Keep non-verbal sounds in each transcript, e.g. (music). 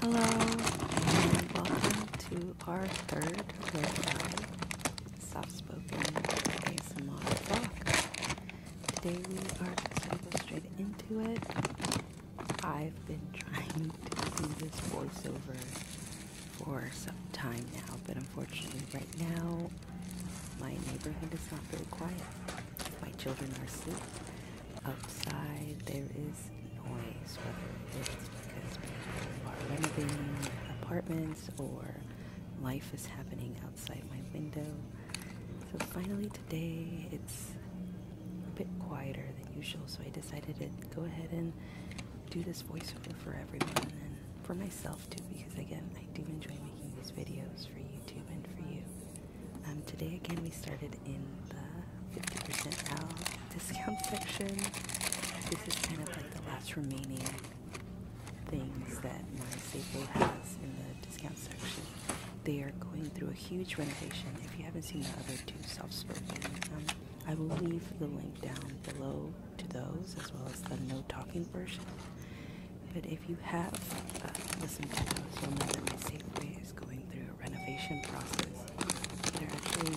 Hello, and welcome to our third Rare Soft Spoken ASMR Vlog. Today we are going to go straight into it. I've been trying to do this voiceover for some time now, but unfortunately right now my neighborhood is not very quiet. My children are asleep outside there is noise, whether it's because people are renovating apartments or life is happening outside my window. So finally today it's a bit quieter than usual, so I decided to go ahead and do this voiceover for everyone and for myself too, because again, I do enjoy making these videos for YouTube and for you. Um, today again we started in the 50% off discount (laughs) section. This is kind of like the last remaining things that my staple has in the discount section. They are going through a huge renovation. If you haven't seen the other two self-spoken, um, I will leave the link down below to those as well as the no talking version. But if you have uh, listened to those, you'll know that my Safeway is going through renovation process. They're actually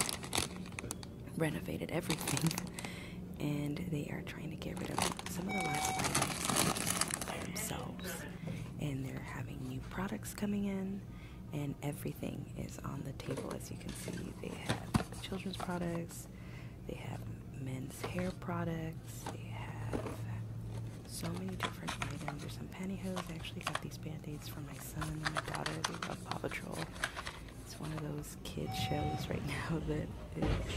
renovated everything, (laughs) and they are trying to get rid of some of the last items themselves. And they're having new products coming in, and everything is on the table. As you can see, they have children's products, they have men's hair products, they have so many different items. There's some pantyhose. I actually got these band-aids for my son and my daughter. They love Paw Patrol. It's one of those kid shows right (laughs) now that is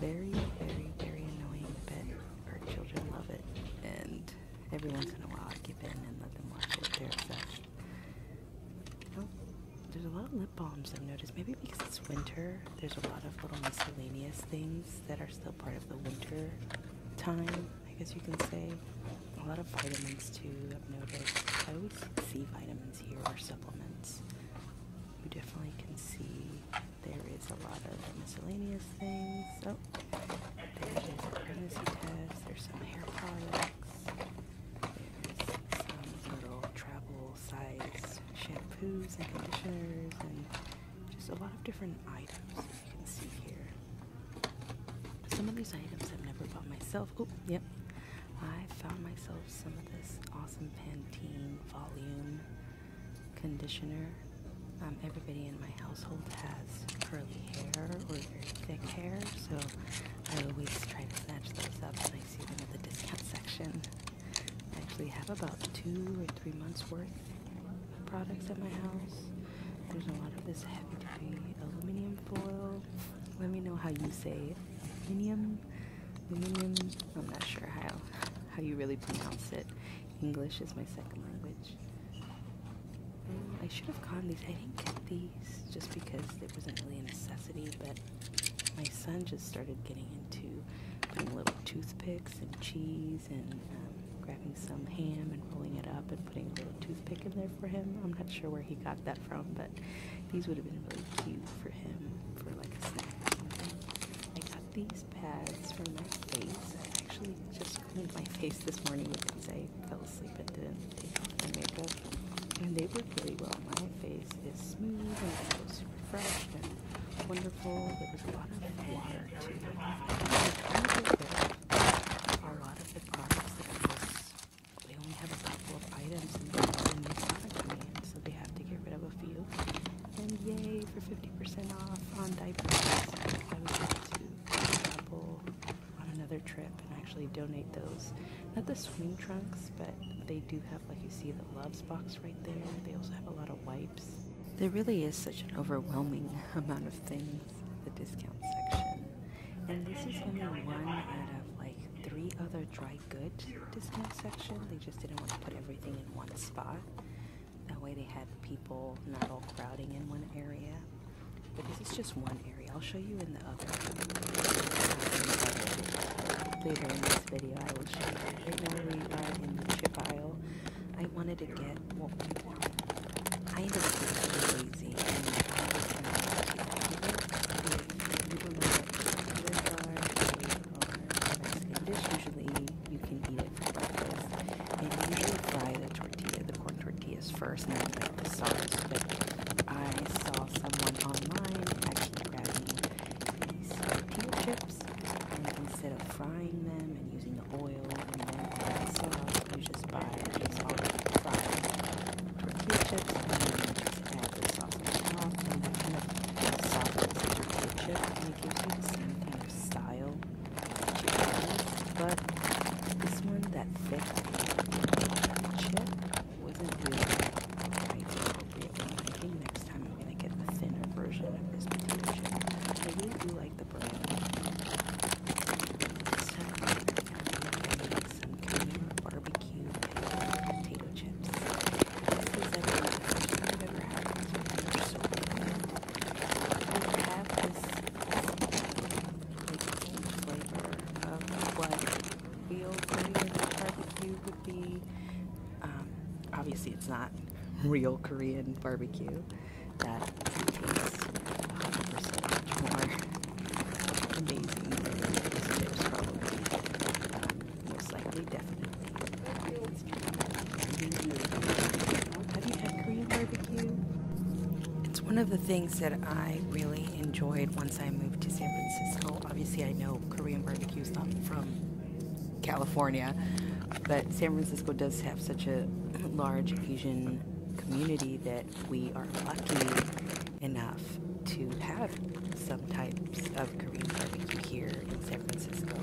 very, very, very annoying, but our children love it. And every once in a while I give in and let them watch it. Oh, there's a lot of lip balms I've noticed. Maybe because it's winter, there's a lot of little miscellaneous things that are still part of the winter time I guess you can say a lot of vitamins too. I've noticed I always see vitamins here or supplements. You definitely can see there is a lot of miscellaneous things. Oh, there's pregnancy test. There's some hair products. There's some little travel-sized shampoos and conditioners and just a lot of different items you can see here. Some of these items I've never bought myself. Oh, yep. I found myself some of this awesome Pantene volume conditioner. Um, everybody in my household has curly hair or very thick hair, so I always try to snatch those up when I see them at the discount (laughs) section. I actually have about two or three months worth products at my house. There's a lot of this heavy duty aluminum foil. Let me know how you say Aluminum, aluminum. I'm not sure how how you really pronounce it. English is my second language. I should have gotten these. I didn't get these just because it wasn't really a necessity, but my son just started getting into little toothpicks and cheese these and um, grabbing some ham and rolling it up and putting a little toothpick in there for him. I'm not sure where he got that from, but these would have been really cute for him for like a snack or something. I got these pads for my face. I actually just cleaned my face this morning with these. I fell asleep and didn't take off my makeup. And they work really well. My face is smooth and it feels super fresh and wonderful. There was a lot of water too a lot of the products they only have a couple of items and they have new product demand, so they have to get rid of a few. And yay for 50% off on diapers. I was able to couple on another trip and actually donate those. Not the swim trunks, but they do have, like you see, the Loves box right there. They also have a lot of wipes. There really is such an overwhelming (laughs) amount of things the discount section. And this is only one out of like three other dry good discount section. They just didn't want to put everything in one spot. That way they had people not all crowding in one area. But this is just one area. I'll show you in the other. Later in this video I will show you. Right now we are in the chip aisle. I wanted to get I end up being lazy and I was not people know Usually you can eat it for breakfast. And usually fry the tortilla, the corn tortillas first, not the sauce. I saw someone online actually grabbing these tortilla chips instead of frying them and using oil and then so you just buy just all the fried it gives you the same kind of style but this one that thick chip wasn't really quite appropriate. next time I'm gonna get a thinner version of this potato chip. I do like the brand. barbecue potato chips. This is the first time I've ever had these. They're so have this like, flavor of what feels Korean barbecue would be. obviously, it's not real Korean barbecue that tastes 100% more amazing It's one of the things that I really enjoyed once I moved to San Francisco. Obviously, I know Korean barbecue is not from California, but San Francisco does have such a large Asian community that we are lucky enough to have some types of Korean barbecue here in San Francisco.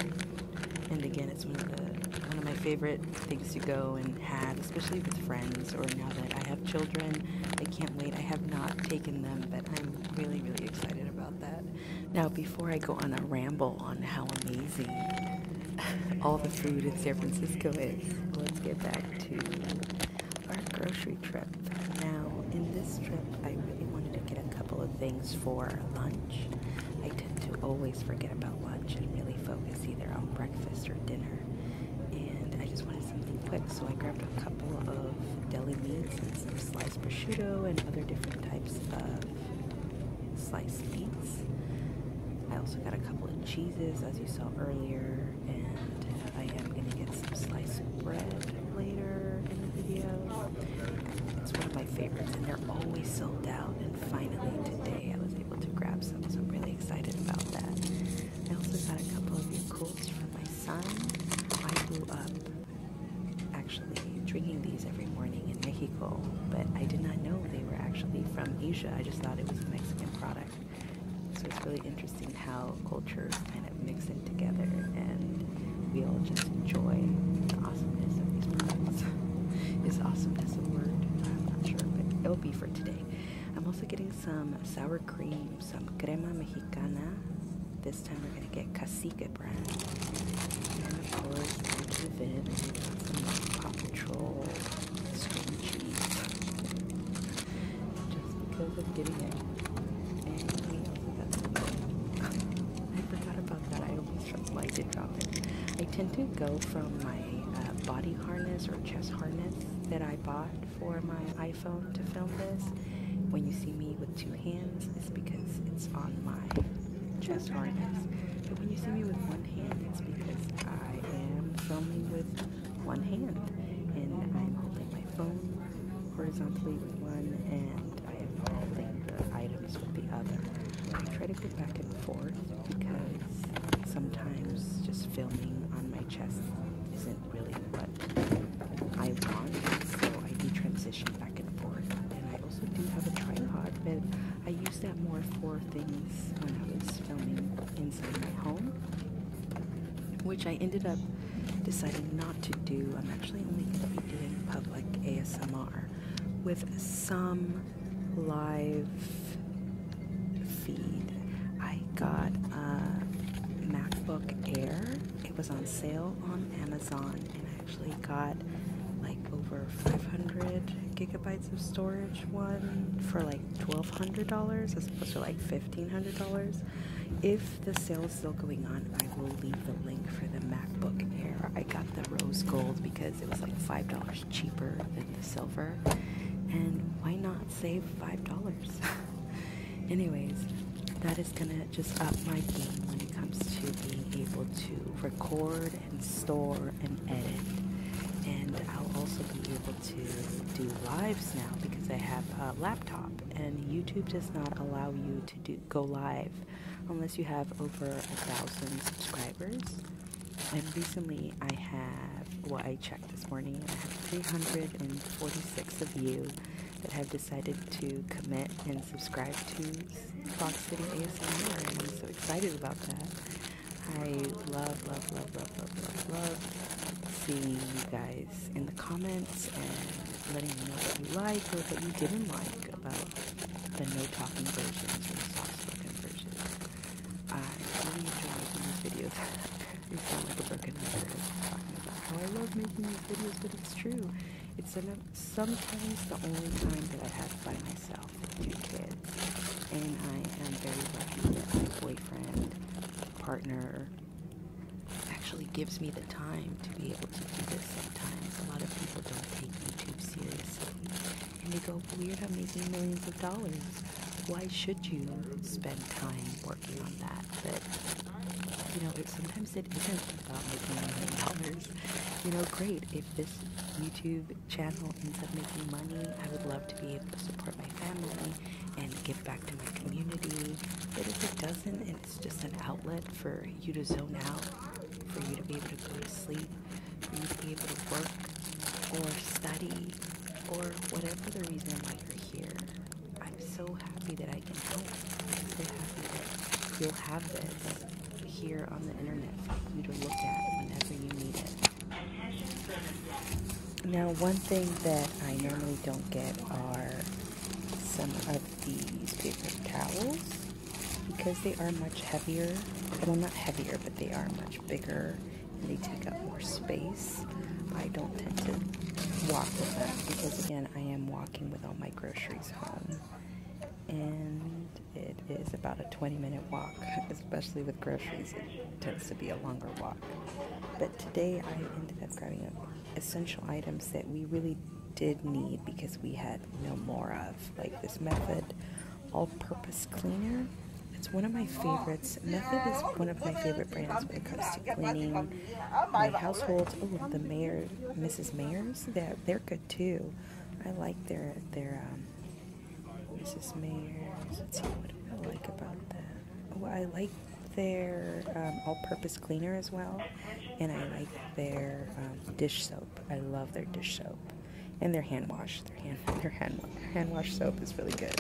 And again, it's one of the one of my favorite things to go and have, especially with friends or now that I have children. I can't wait. I have not taken them, but I'm really, really excited about that. Now, before I go on a ramble on how amazing (laughs) all the food in San Francisco is. Let's get back to our grocery trip. Now, in this trip, I really wanted to get a couple of things for lunch. I tend to always forget about lunch and really focus either on breakfast or dinner. And I just wanted something quick, so I grabbed a couple of deli meats and some sliced prosciutto and other different types of sliced meats. I also got a couple of cheeses, as you saw earlier, and I am going to get some sliced bread later in the video. It's one of my favorites, and they're always sold out, and finally today I was able to grab some, so I'm really excited about that. I also got a couple of Yakults for my son. I grew up actually drinking these every morning in Mexico, but I did not know they were actually from Asia. I just thought it was a Mexican product. So it's really interesting how cultures kind of mix in together and we all just enjoy the awesomeness of these products. (laughs) Is awesomeness a word? I'm not sure, but it'll be for today. I'm also getting some sour cream, some crema mexicana. This time we're going to get Cacique brand. And of course, Patrol I forgot about that. I almost realized it it. I tend to go from my uh, body harness or chest harness that I bought for my iPhone to film this. When you see me with two hands, it's because it's on my chest harness. But when you see me with one because I am filming with one hand. And I'm holding my phone horizontally with one, and I am holding the items with the other. I try to go back and forth because sometimes just filming on my chest isn't really what I want, so I do transition back and forth. And I also do have a tripod, but I use that more for things when I was filming inside my home, which I ended up deciding not to do. I'm actually only going to be doing public ASMR with some live feed. I got a MacBook Air. It was on sale on Amazon, and I actually got like over 500 gigabytes of storage one for like $1,200 as opposed to like $1,500. If the sale is still going on, I will leave the link for the MacBook Air. I got the rose gold because it was like $5 cheaper than the silver. And why not save $5? (laughs) Anyways, that is going to just up my game when it comes to being able to record and store and edit. And I'll also be able to do lives now because I have a laptop, and YouTube does not allow you to do go live unless you have over a thousand subscribers. And recently, I have what I checked this morning, I have 346 of you that have decided to commit and subscribe to Fox City ASMR, and I'm so excited about that. I love, love, love, love, love, love, love seeing you guys in the comments and letting me know what you like or what you didn't like about the no talking versions or the soft spoken versions. I really enjoy making these videos. It's (laughs) not like a broken record talking about how I love making these videos, but it's true. It's sometimes the only time that I have by myself. Two kids. And I am very lucky that my boyfriend, partner, actually gives me the time to be able to do this sometimes. A lot of people don't take YouTube seriously. And they go, weird, I'm making millions of dollars. Why should you spend time working on that? But, you know, sometimes it isn't about making millions of dollars. You know, great, if this YouTube channel ends up making money. I would love to be able to support my family and give back to my community. But if it doesn't, and it's just an outlet for you to zone out, for you to be able to go to sleep, for you to be able to work or study or whatever the reason why you're here, I'm so happy that I can help. I'm so happy that you'll have this here on the internet for you to look at whenever you need it. Now, one thing that I normally don't get are some of these paper towels because they are much heavier. Well, not heavier, but they are much bigger and they take up more space. I don't tend to walk with them because, again, I am walking with all my groceries home. And it is about a 20 minute walk (laughs) especially with groceries, it tends to be a longer walk. But today I ended up grabbing essential items that we really did need because we had no more of, like this Method all-purpose cleaner. It's one of my favorites. Method is one of my favorite brands when it comes to cleaning my households. Oh, the Mayor, Mrs. Mayors, That they're good too. I like their their um, Mrs. Mayer's. Let's see, what do I like about that? Oh, I like their um, all-purpose cleaner as well, and I like their um, dish soap. I love their dish soap and their hand wash. Their hand (laughs) their hand hand wash soap is really good.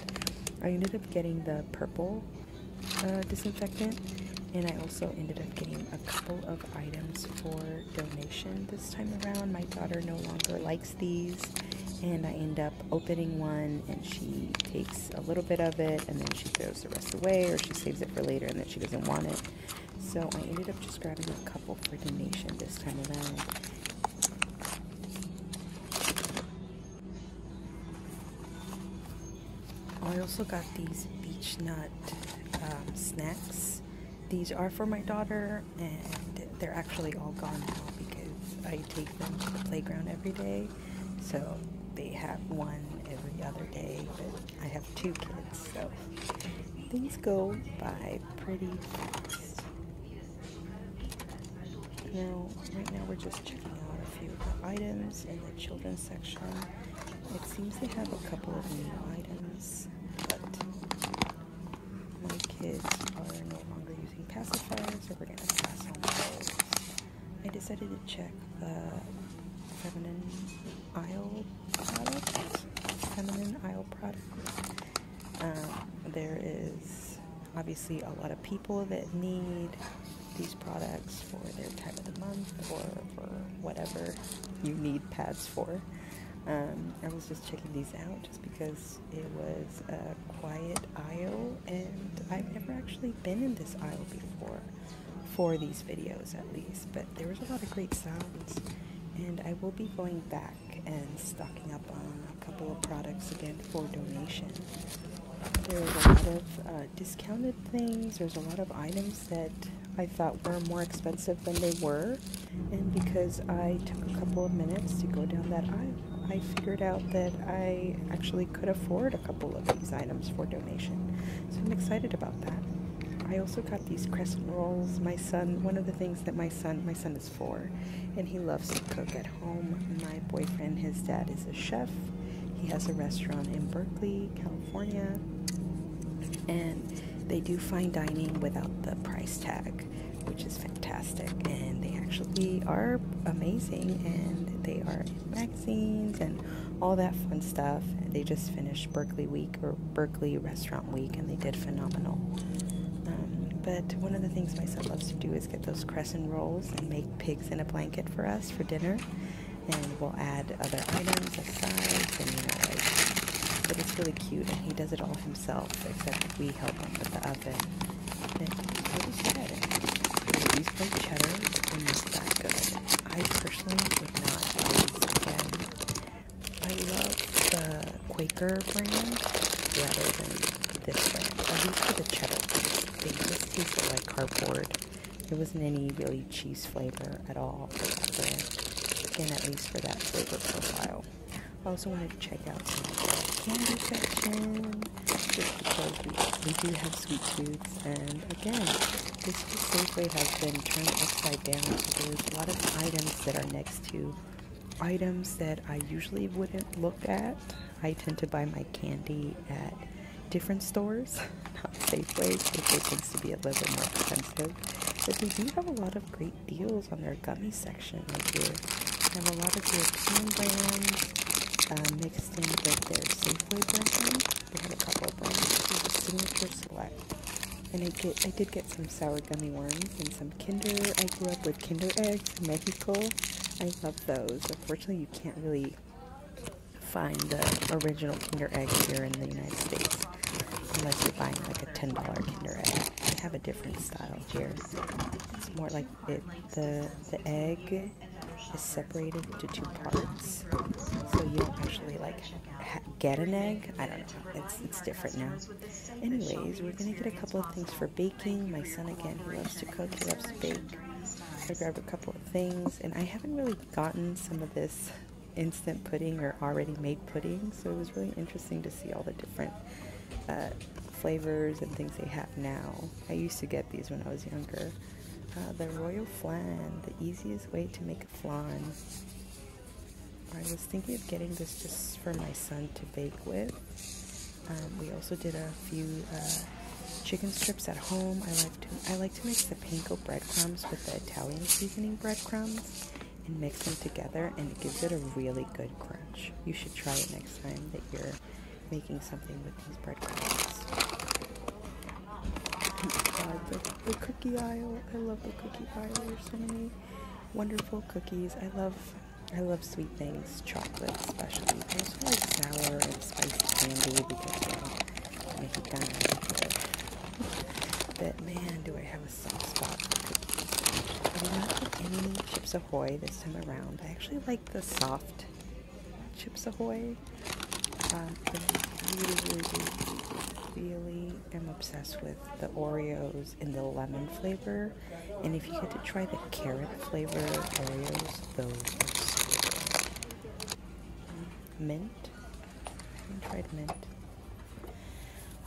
I ended up getting the purple uh, disinfectant, and I also ended up getting a couple of items for donation this time around. My daughter no longer likes these, and I end up opening one and she takes a little bit of it and then she throws the rest away or she saves it for later and then she doesn't want it. So I ended up just grabbing a couple for donation this time around. I also got these beech nut um, snacks. These are for my daughter and they're actually all gone now because I take them to the playground every day. So they have one every other day, but I have two kids, so things go by pretty fast. Now, right now we're just checking out a few of the items in the children's section. It seems they have a couple of new items, but my kids are no longer using pacifiers, so we're going to pass on those. I decided to check the feminine aisle products. Feminine aisle products. Um, there is obviously a lot of people that need these products for their time of the month or for whatever you need pads for. Um, I was just checking these out because it was a quiet aisle and I've never actually been in this aisle before for these videos at least but there was a lot of great sounds and I will be going back and stocking up on a couple of products again for donation. There was a lot of uh, discounted things, there's a lot of items that I thought were more expensive than they were and because I took a couple of minutes to go down that aisle I figured out that I actually could afford a couple of these items for donation. So I'm excited about that. I also got these crescent rolls. My son, one of the things that my son, my son is four, and he loves to cook at home. My boyfriend, his dad is a chef. He has a restaurant in Berkeley, California. And they do fine dining without the price tag which is fantastic. And they actually are amazing and they are in magazines and all that fun stuff. They just finished Berkeley Week or Berkeley Restaurant Week and they did phenomenal. Um, but one of the things my son loves to do is get those crescent rolls and make pigs in a blanket for us for dinner. And we'll add other items as sides and you know, like, but it's really cute and he does it all himself except we help him with the oven. I personally would not buy these again. I love the Quaker brand rather than this brand. At least for the cheddar. They just tasted like cardboard. There wasn't any really cheese flavor at all for that brand. Again, at least for that flavor profile. I also wanted to check out the candy section just because we, do have sweet treats. And again, this Safeway has been turned upside down. So there's a lot of items that are next to items that I usually wouldn't look at. I tend to buy my candy at different stores, (laughs) not Safeway. Safeway tends to be a little bit more expensive. But we do have a lot of great great deals on their gummy section right here. I have a lot of European brands uh, mixed in with their Safeway brands. They have a couple of brands. This is Signature Select. And I, get, I did get some sour gummy worms and some Kinder. I grew up with Kinder Eggs in Mexico. I love those. Unfortunately, you can't really find the original Kinder Egg here in the United States unless you're buying like a $10 Kinder Egg. They have a different style here. It's more like the, egg is separated into two parts, so you don't actually like get an egg. I don't know. It's, it's different now. Anyways, we're gonna get a couple of things for baking. My son again, he loves to cook. He loves to bake. I grabbed a couple of things, and I haven't really gotten some of this instant pudding or already made pudding, so it was really interesting to see all the different. Uh, flavors and things they have now. I used to get these when I was younger. Uh, the royal flan, the easiest way to make a flan. I was thinking of getting this just for my son to bake with. Um, we also did a few uh, chicken strips at home. I like to I like to mix the panko breadcrumbs with the Italian seasoning breadcrumbs and mix them together, and it gives it a really good crunch. You should try it next time that you're making something with these bread crumbs, (laughs) the, cookie aisle. I love the cookie aisle. There's so many wonderful cookies. I love I love sweet things, chocolate especially. I also like sour and spicy candy because well, mexicana. But man, do I have a soft spot for cookies. chips Ahoy this time around. I actually like the soft Chips Ahoy. Uh, really, really, really am obsessed with the Oreos in the lemon flavor. And if you get to try the carrot flavor Oreos, those Mint. I haven't tried mint.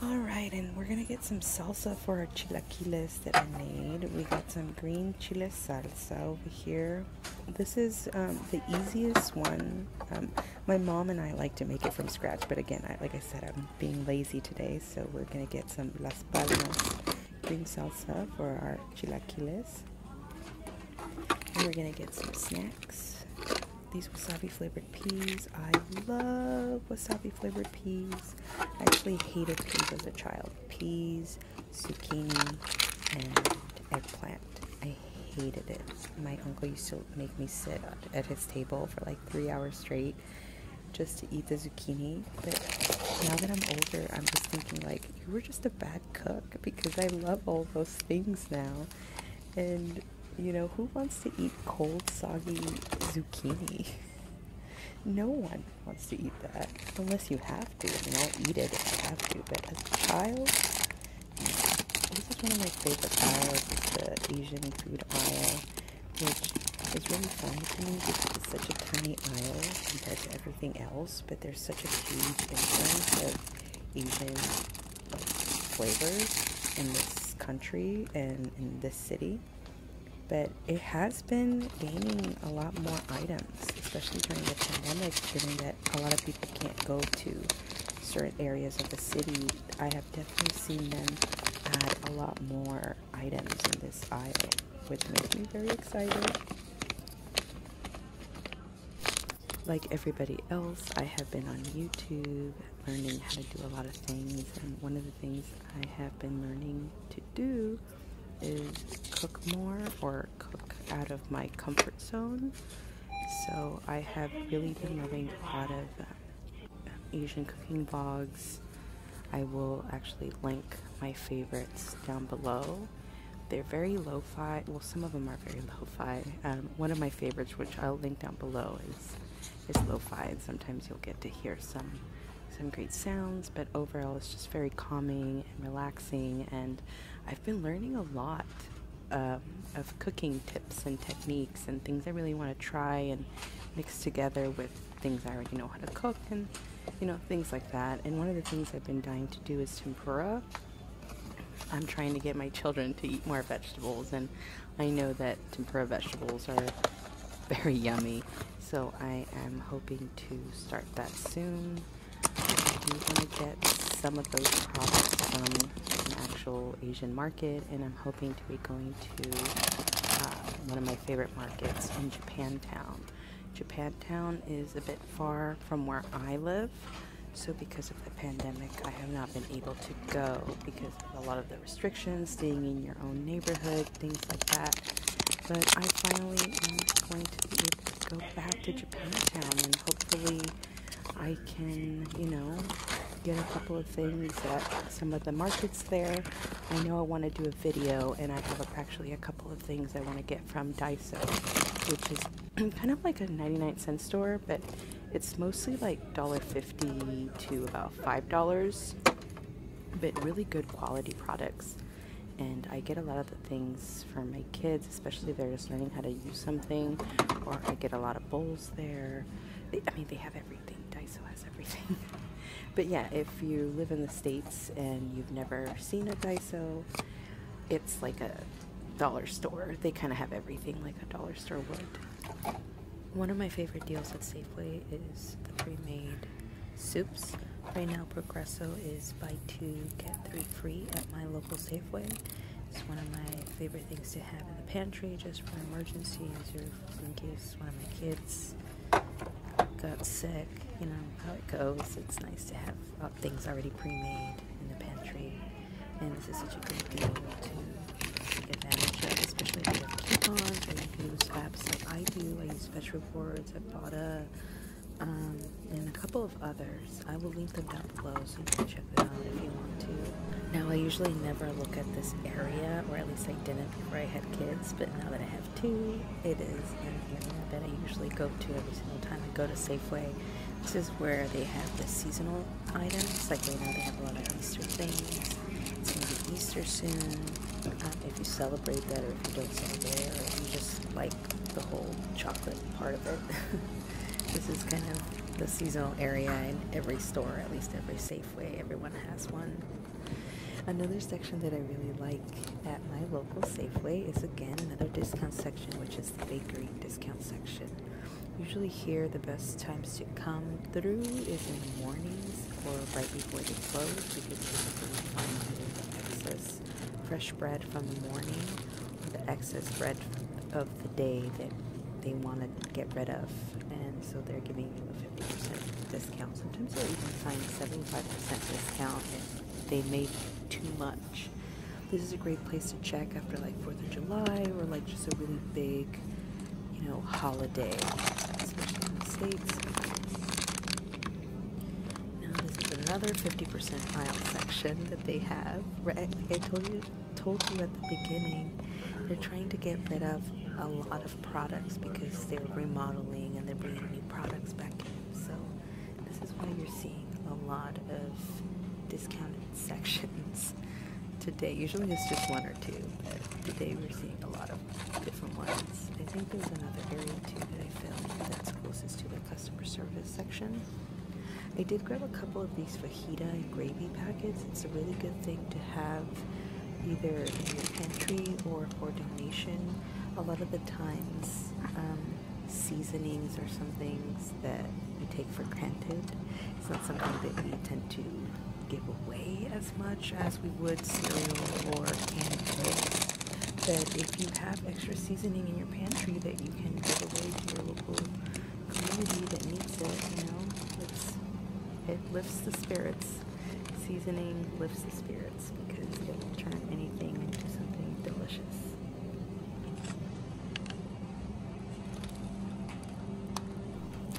Alright, and we're going to get some salsa for our chilaquiles chilaquiles that I made. We got some green chile salsa over here. This is um, the easiest one. Um, my mom and I like to make it from scratch, but again, like I said, I'm being lazy today, so we're going to get some Las Palmas green salsa for our chilaquiles. And we're going to get some snacks. These wasabi flavored peas. I love wasabi flavored peas. I actually hated peas as a child. Peas, zucchini, and eggplant. I hated it. My uncle used to make me sit at his table for like three hours straight just to eat the zucchini. But now that I'm older, I'm just thinking like you were just a bad cook because I love all those things now. And you know, who wants to eat cold, soggy zucchini? (laughs) No one wants to eat that. Unless you have to. I mean, I'll eat it if I have to. But as a child, mm, this is one of my favorite aisles. It's the Asian food aisle, which is really fun because it's such a tiny aisle compared to everything else. But there's such a huge influence of Asian flavors in this country and in this city but it has been gaining a lot more items, especially during the pandemic, given that a lot of people can't go to certain areas of the city. I have definitely seen them add a lot more items in this aisle, which makes me very excited. Like everybody else, I have been on YouTube learning how to do a lot of things, and one of the things I have been learning to do is cook more or cook out of my comfort zone. So I have really been loving a lot of um, Asian cooking vlogs. I will actually link my favorites down below. They're very lo-fi. Well, some of them are very lo-fi. Um, one of my favorites, which I'll link down below, is, is lo-fi. And sometimes you'll get to hear some some great sounds, but overall it's just very calming and relaxing. And I've been learning a lot um, of cooking tips and techniques and things I really want to try and mix together with things I already know how to cook and you know things like that. And one of the things I've been dying to do is tempura. I'm trying to get my children to eat more vegetables, and I know that tempura vegetables are very yummy. So I am hoping to start that soon. I'm going to get some of those products from an actual Asian market, and I'm hoping to be going to uh, one of my favorite markets in Japantown. Japantown is a bit far from where I live, so because of the pandemic, I have not been able to go because of a lot of the restrictions, staying in your own neighborhood things like that. But I finally am going to go back to Japan Town and hopefully I can, you know, get a couple of things at some of the markets there. I know I want to do a video and I have actually a couple of things I want to get from Daiso, which is (clears throat) kind of like a 99 cent store, but it's mostly like $1.50 to about $5 but really good quality products. And I get a lot of the things for my kids, especially they're just learning how to use something, or I get a lot of bowls there. I mean, they have everything. Daiso has everything. (laughs) but yeah, if you live in the States and you've never seen a Daiso, it's like a dollar store. They kind of have everything like a dollar store would. One of my favorite deals at Safeway is the pre-made soups. Right now, Progresso is buy two, get three free at my local Safeway. It's one of my favorite things to have in the pantry just for emergencies or in case one of my kids got sick. You know how it goes. It's nice to have uh, things already pre-made in the pantry. And this is such a great deal to take advantage of, especially if you have coupons or you use apps like I do. I use Fetch Report I bought a and a couple of others. I will link them down below so you can check them out if you want to. Now I usually never look at this area, or at least I didn't before I had kids, but now that I have two, it is an area that I usually go to every single time I go to Safeway. This is where they have the seasonal items, like right now they have a lot of Easter things. It's going to be Easter soon. Um, if you celebrate that or if you don't celebrate it or you just like the whole chocolate part of it. (laughs) this is kind of the seasonal area in every store, at least every Safeway, everyone has one. Another section that I really like at my local Safeway is again another discount section, which is the bakery discount section. Usually, here the best times to come through is in the mornings or right before they close fresh bread from the morning or the excess bread of the day that they want to get rid of. And so they're giving you a 50% discount. Sometimes they'll even find 75% discount if they made too much. This is a great place to check after like 4th of July or like just a really big, you know, holiday, now this is another 50% aisle section that they have. Right? I told you, told you at the beginning, they're trying to get rid of a lot of products because they're remodeling and they're bringing new products back in. So this is why you're seeing a lot of discounted (laughs) sections today. Usually it's just one or two, but today we're seeing a lot of different ones. I think there's another area too that I found that's closest to the customer service section. I did grab a couple of these fajita gravy packets. It's a really good thing to have either in your pantry or for donation. A lot of the times, um, seasonings or some things that we take for granted. It's not something that we tend to give away as much as we would cereal or canned flakes. That if you have extra seasoning in your pantry that you can give away to your local community that needs it, you know, it lifts the spirits. Seasoning lifts the spirits because it will turn anything into something delicious.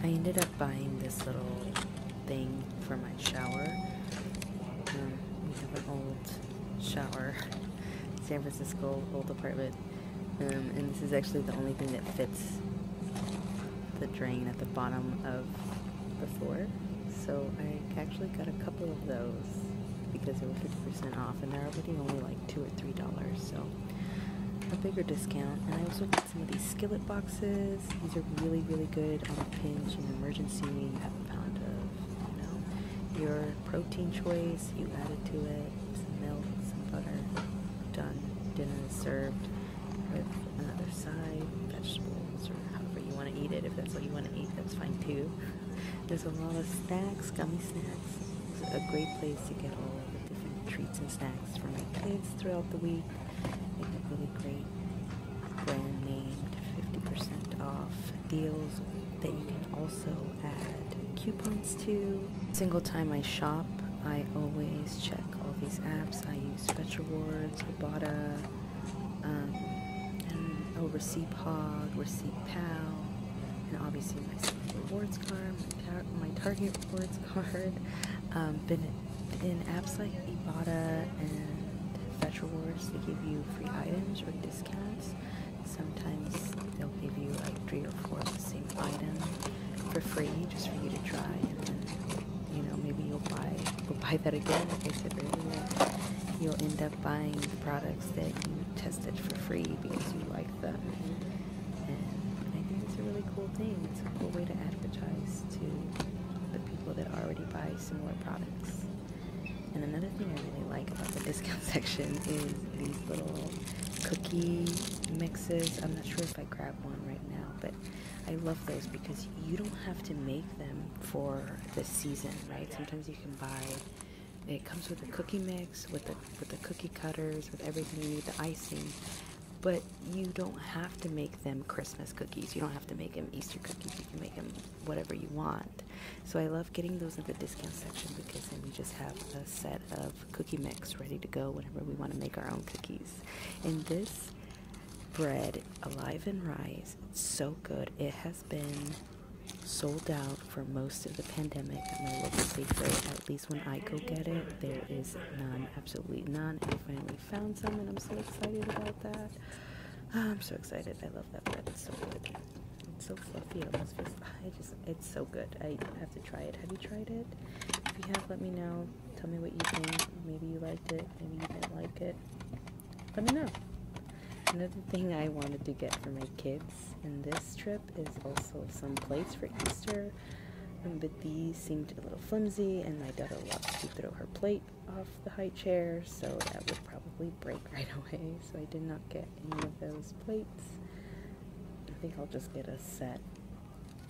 I ended up buying this little thing for my shower. Um, we have an old shower, (laughs) San Francisco old apartment, um, and this is actually the only thing that fits the drain at the bottom of the floor. So I actually got a couple of those because they were 50% off and they're already only like 2 or $3, so a bigger discount. And I also got some of these skillet boxes. These are really, really good um, pinch, an emergency, you have a pound of, you know, your protein choice, you add it to it, some milk, some butter, done. Dinner is served with another side, vegetables, or however you want to eat it. If that's what you want to eat, that's fine too. There's a lot of snacks, gummy snacks. a great place to get all the different treats and snacks for my kids throughout the week really great brand name, 50% off deals that you can also add coupons to. Single time I shop, I always check all these apps. I use Fetch Rewards, Robotta, um, and oh, Receipt Hog, Receipt Pal, and obviously my rewards card, my, Target rewards (laughs) card, um, in apps like Ibotta and Fetch Rewards, they give you free items or discounts. Sometimes they'll give you like three or four of the same item for free just for you to try. And then, you know, maybe you'll buy, you'll buy that again, like I said earlier. You'll end up buying the products that you tested for free because you like them. And I think it's a really cool thing. It's a cool way to advertise to the people that already buy similar products. And another thing I really like about the discount (laughs) section is these little cookie mixes. I'm not sure if I grab one right now, but I love those because you don't have to make them for the season, right? Sometimes you can buy it comes with a cookie mix, with the with the cookie cutters, with everything you need, the icing. But you don't have to make them Christmas cookies. You don't have to make them Easter cookies. You can make them whatever you want. So I love getting those at the discount section because then we just have a set of cookie mix ready to go whenever we want to make our own cookies. And this bread, Alive and Rise, it's so good. It has been sold out for most of the pandemic at my local bakery. At least when I go get it, there is none, absolutely none. And if found some, and I'm so excited about that. Ah, I'm so excited. I love that bread. It's so good. It's so fluffy. I just. It's so good. I have to try it. Have you tried it? If you have, let me know. Tell me what you think. Maybe you liked it. Maybe you didn't like it. Let me know. Another thing I wanted to get for my kids in this trip is also some plates for Easter. Um, but these seemed a little flimsy, and my daughter loves to throw her plate off the high chair, so that would probably break (laughs) right away. So I did not get any of those plates. I think I'll just get a set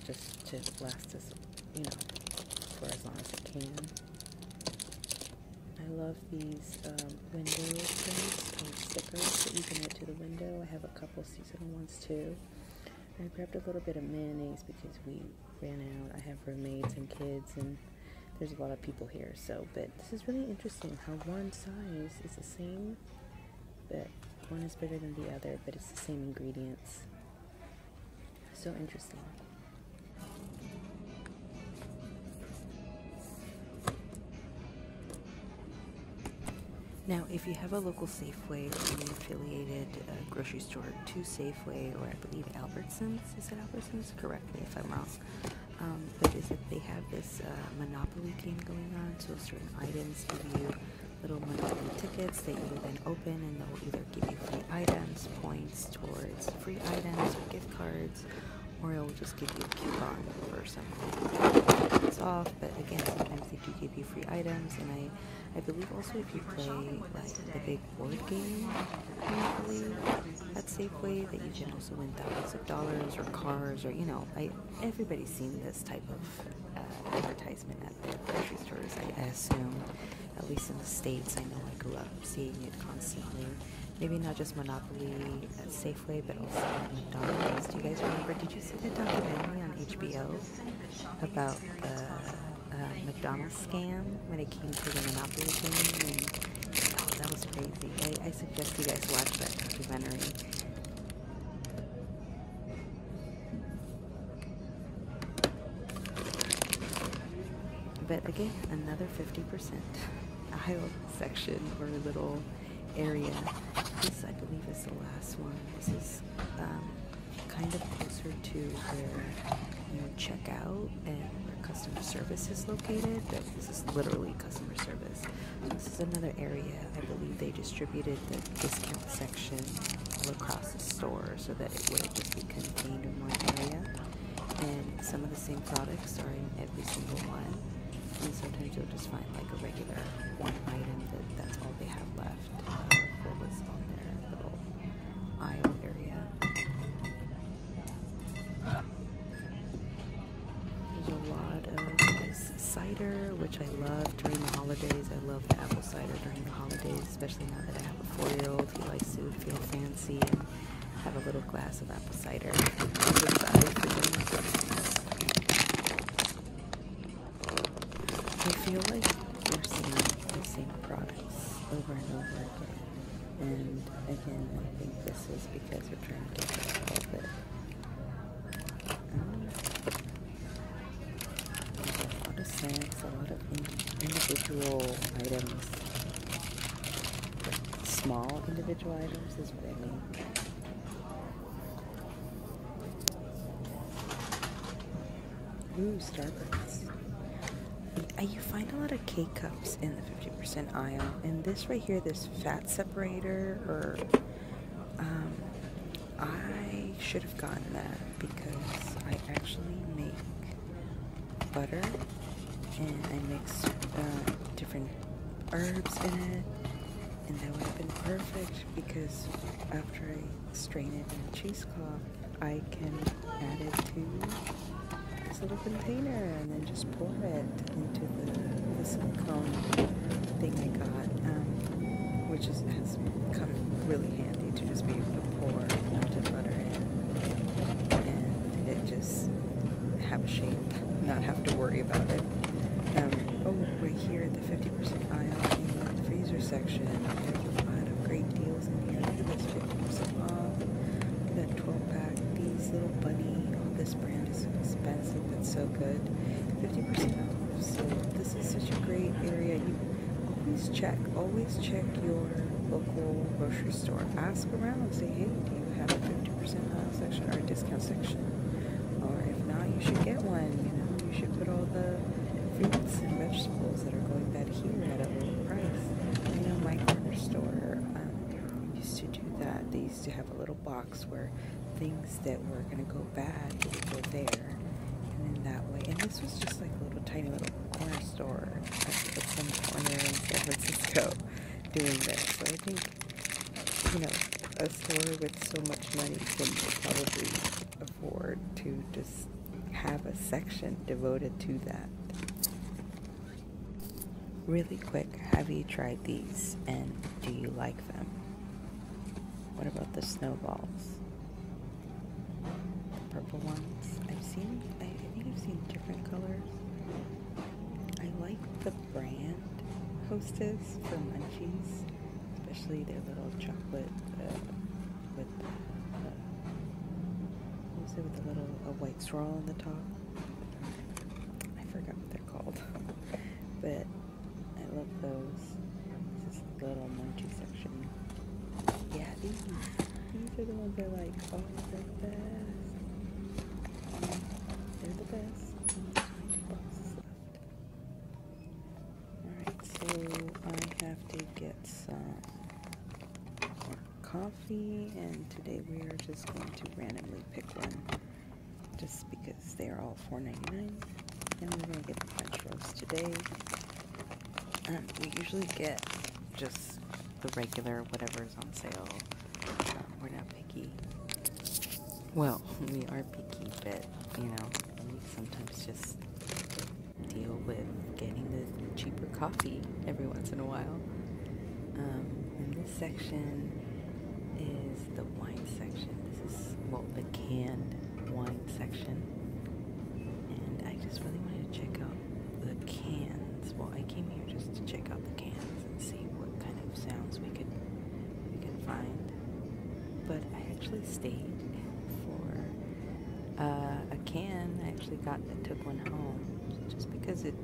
just to last us, you know, for as long as it can. I love these um, window prints or stickers that you can add to the window. I have a couple seasonal ones too. I grabbed a little bit of mayonnaise because we ran out. I have roommates and kids, and there's a lot of people here. So, but this is really interesting how one size is the same, but one is better than the other, but it's the same ingredients. So interesting. Now, if you have a local Safeway or an affiliated uh, grocery store to Safeway, Safeway or I believe Albertsons. Is it Albertsons? Correct me if I'm wrong. Um, but is that they have this uh, monopoly game going on, so certain items give you little monopoly tickets that you then open and they'll either give you free items, points towards free items or gift cards, or it'll just give you a coupon for something it's off. But again, sometimes they do give you free items, and I, I believe also if you play like the big board game usually at Safeway that you can also win thousands of dollars or cars or, you know, everybody's seen this type of uh, advertisement at their grocery stores, I assume. At least in the States, I know I grew up seeing it constantly. Maybe not just Monopoly at uh, Safeway, but also McDonald's. Do you guys remember? Did you see the documentary on HBO about the uh, McDonald's scam when it came to the Monopoly game. And, that was crazy. I, suggest you guys watch that documentary. But again, another 50% aisle section or little area. This, I believe, is the last one. This is um, kind of closer to where you check out and where customer service is located, this is literally customer service. So this is another area. I believe they distributed the discount section all across the store so that it would just be contained in one area. And some of the same products are in every single one. And sometimes you'll just find like a regular one item that that's all they have left uh, for what's on their little aisle area. There's a lot of cider, which I love during the holidays. I love the apple cider during the holidays, especially now that I have a four-year-old who likes to feel fancy and have a little glass of apple cider. I feel like we're seeing the same products over and over and again, I think this is because we're trying to get rid of all the um, a lot of snacks, a lot of individual items. Small individual items is what I mean. Uh, you find a lot of K cups in the 50% aisle, and this right here, this fat separator, or um, I should have gotten that because I actually make butter and I mix uh, different herbs in it, and that would have been perfect because after I strain it in a cheesecloth, I can add it to this little container and then just pour it into the, silicone thing I got, um, which has come really handy to just be able to pour melted butter in and it just have a shape, not have to worry about it. Um, oh, we're here at the 50% aisle in the freezer section, there's a lot of great deals in here. Look at this 50% off. 12 pack. These little bunny, oh, this brand is expensive, but so good. 50% off. So this is such a great area. You always check, always check your local grocery store. Ask around and say, hey, do you have a 50% off section or a discount section? Or if not, you should get one. You know, you should put all the fruits and vegetables that are going back that here at a low price. I know my corner store um, used to do that. They used to have a little box where things that were going to go bad would go there. And then that way, and this was just like a little tiny little corner store at some corner in San Francisco (laughs) doing this. So I think, you know, a store with so much money can probably afford to just have a section devoted to that. Really quick, have you tried these and do you like them? What about the snowballs? The purple ones? I've seen, I, think I've seen different colors. I like the brand Hostess for munchies, especially their little chocolate with, uh, with the uh, little white like straw on the top. I forgot what they're called, (laughs) but I love those. This is the little munchy section. Yeah, these these are the ones I like. Oh, the best. they the best. Alright, so I have to get some coffee and today we are just going to randomly pick one just because they're all $4.99 and we're going to get french roast today um, we usually get just the regular whatever's on sale um, we're not picky well (laughs) we are picky but you know we sometimes just deal with getting the cheaper coffee every once in a while. Um, this section is the wine section. This is, well, the canned wine section. And I just really wanted to check out the cans. Well, I came here just to check out the cans and see what kind of sounds we could we could find. But I actually stayed for uh, a can. I actually got shop that took one home just because it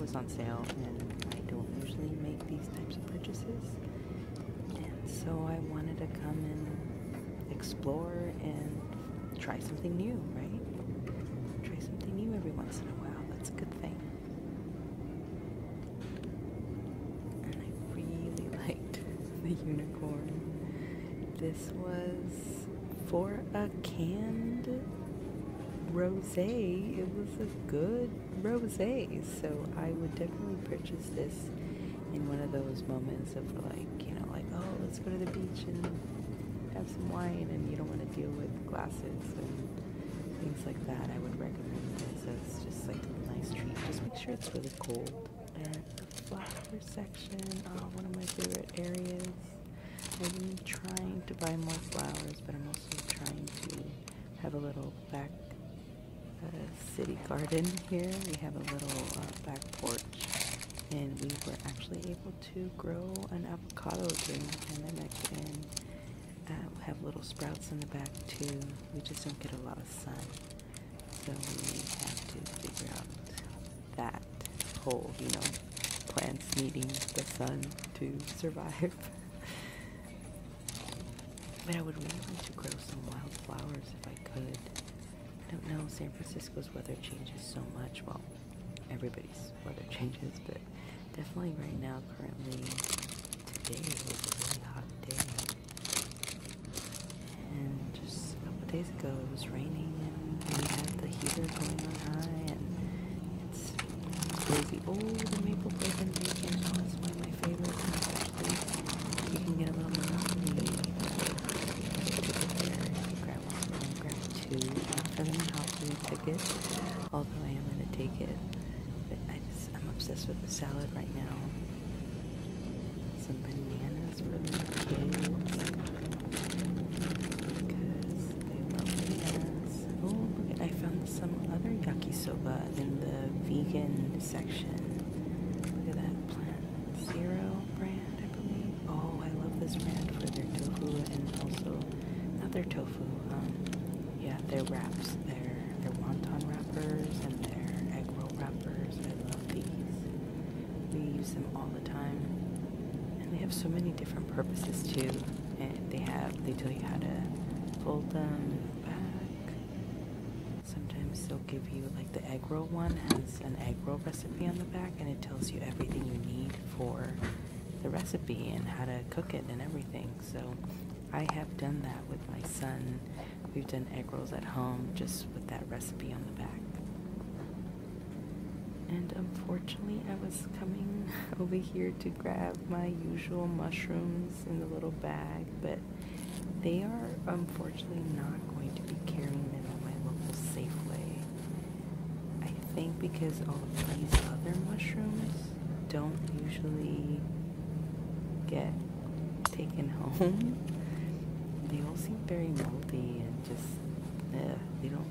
was on sale and I don't usually make these types of purchases. And so I wanted to come and explore and try something new, right? Try something new every once in a while. That's a good thing. And I really (laughs) liked the unicorn. This was for a canned rosé. It was a good rosé, so I would definitely purchase this in one of those moments of like, you know, like, oh, let's go to the beach and have some wine and you don't want to deal with glasses and things like that. I would recommend this as just like a nice treat. Just make sure it's really cold. And the section, uh, one of my favorite areas. I've been trying to buy more flowers, but I'm also trying to have a little back uh, city garden here. We have a little uh, back porch, and we were actually able to grow an avocado during the pandemic and uh, have little sprouts in the back too. We just don't get a lot of sun, so we have to figure out that whole, you know, plants needing the sun to survive. (laughs) but I would really like to grow some wildflowers if I could. I don't know, San Francisco's weather changes so much. Well, everybody's weather (laughs) changes, but definitely right now, currently, today is a really hot day. And just a always goes raining and we have the heater going on high and it's crazy. Oh, the maple bacon bacon. Oh, it's one of my favorites. Especially you can get a little monotony. Grab one, grab two. Not for the mahogany ticket, although I am going to take it. I just, I'm obsessed with the salad right now. Some bananas, really cute. Oh, look I found some other yakisoba in the vegan section. Look at that plant zero brand, I believe. Oh, I love this brand for their tofu and also not their tofu. Um, yeah, their wraps, their their wonton wrappers and their egg roll wrappers. I love these. We use them all the time, and they have so many different purposes too. And they have they tell you how to fold them back. Sometimes they'll give you like the egg roll one has an egg roll recipe on the back, and it tells you everything you need for the recipe and how to cook it and everything. So I have done that with my son. We've done egg rolls at home just with that recipe on the back. And unfortunately, I was coming (laughs) over here to grab my usual mushrooms in the little bag, but they are unfortunately not going to be carrying them at my local Safeway. I think because all of these other mushrooms don't usually get taken home. They all seem very moldy and just, they don't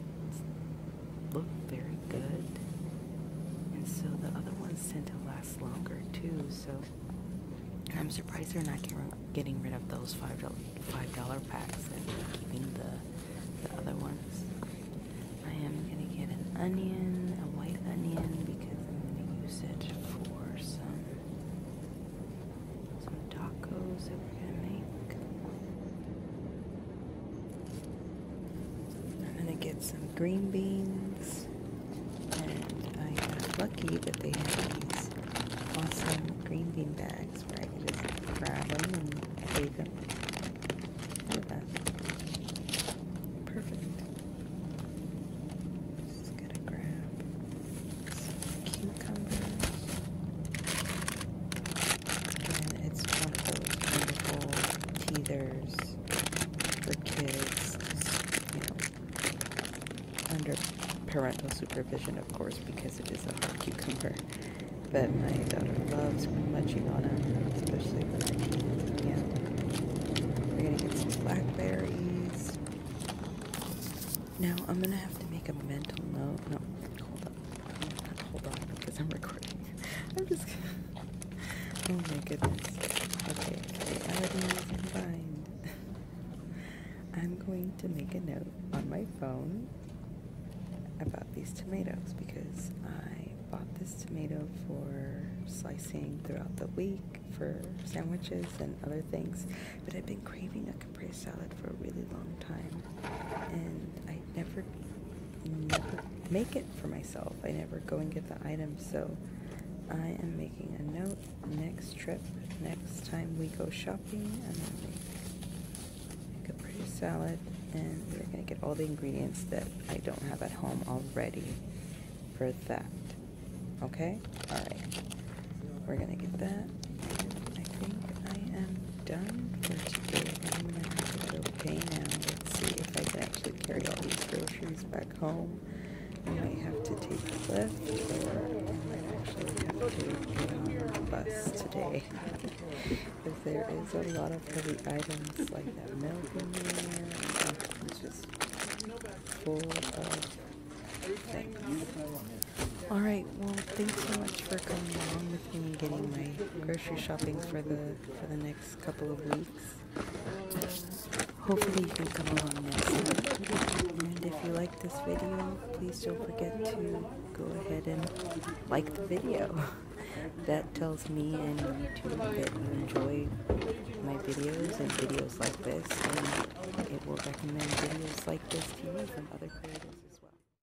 look very good. And so the other ones tend to last longer too. So I'm surprised they're not getting rid of those five dollar packs and keeping the the other ones. I am gonna get an onion, a white onion, because I'm gonna use it for some some tacos that we're gonna make. I'm gonna get some green beans, and I am lucky that they have these awesome green bean bags where I can just grab them and save them. Perfect. Just gonna grab some cucumbers. And it's one of those wonderful teethers for kids, under parental supervision, of course, because it is a cucumber. But my daughter loves munching on them, especially when I eat at the We're gonna get some blackberries. Now I'm gonna have to make a mental note. No, hold on. Hold on, because I'm recording. (laughs) I'm just. oh my goodness. Okay, (laughs) I'm going to make a note on my phone about these tomatoes because I bought this tomato for slicing throughout the week for sandwiches and other things, but I've been craving a Caprese salad for a really long time and I never never make it for myself. I never go and get the items. So I am making a note next trip, next time we go shopping, I'm going to make, make a pretty salad and we're going to get all the ingredients that I don't have at home already for that. Okay? Alright. We're going to get that. I think I am done for today. I'm going now. Let's see if I can actually carry all these groceries back home. I might have to take a lift or I might actually have to get on bus today. Because (laughs) there is a lot of heavy items like that milk in there. It's just full of things. Alright, well thanks so much for coming along with me getting my grocery shopping for the for the next couple of weeks. Hopefully you can come along next time. And if you like this video, please don't forget to go ahead and like the video. (laughs) that tells me and YouTube that you enjoy my videos and videos like this, and it will recommend videos like this to you from other creators. as well.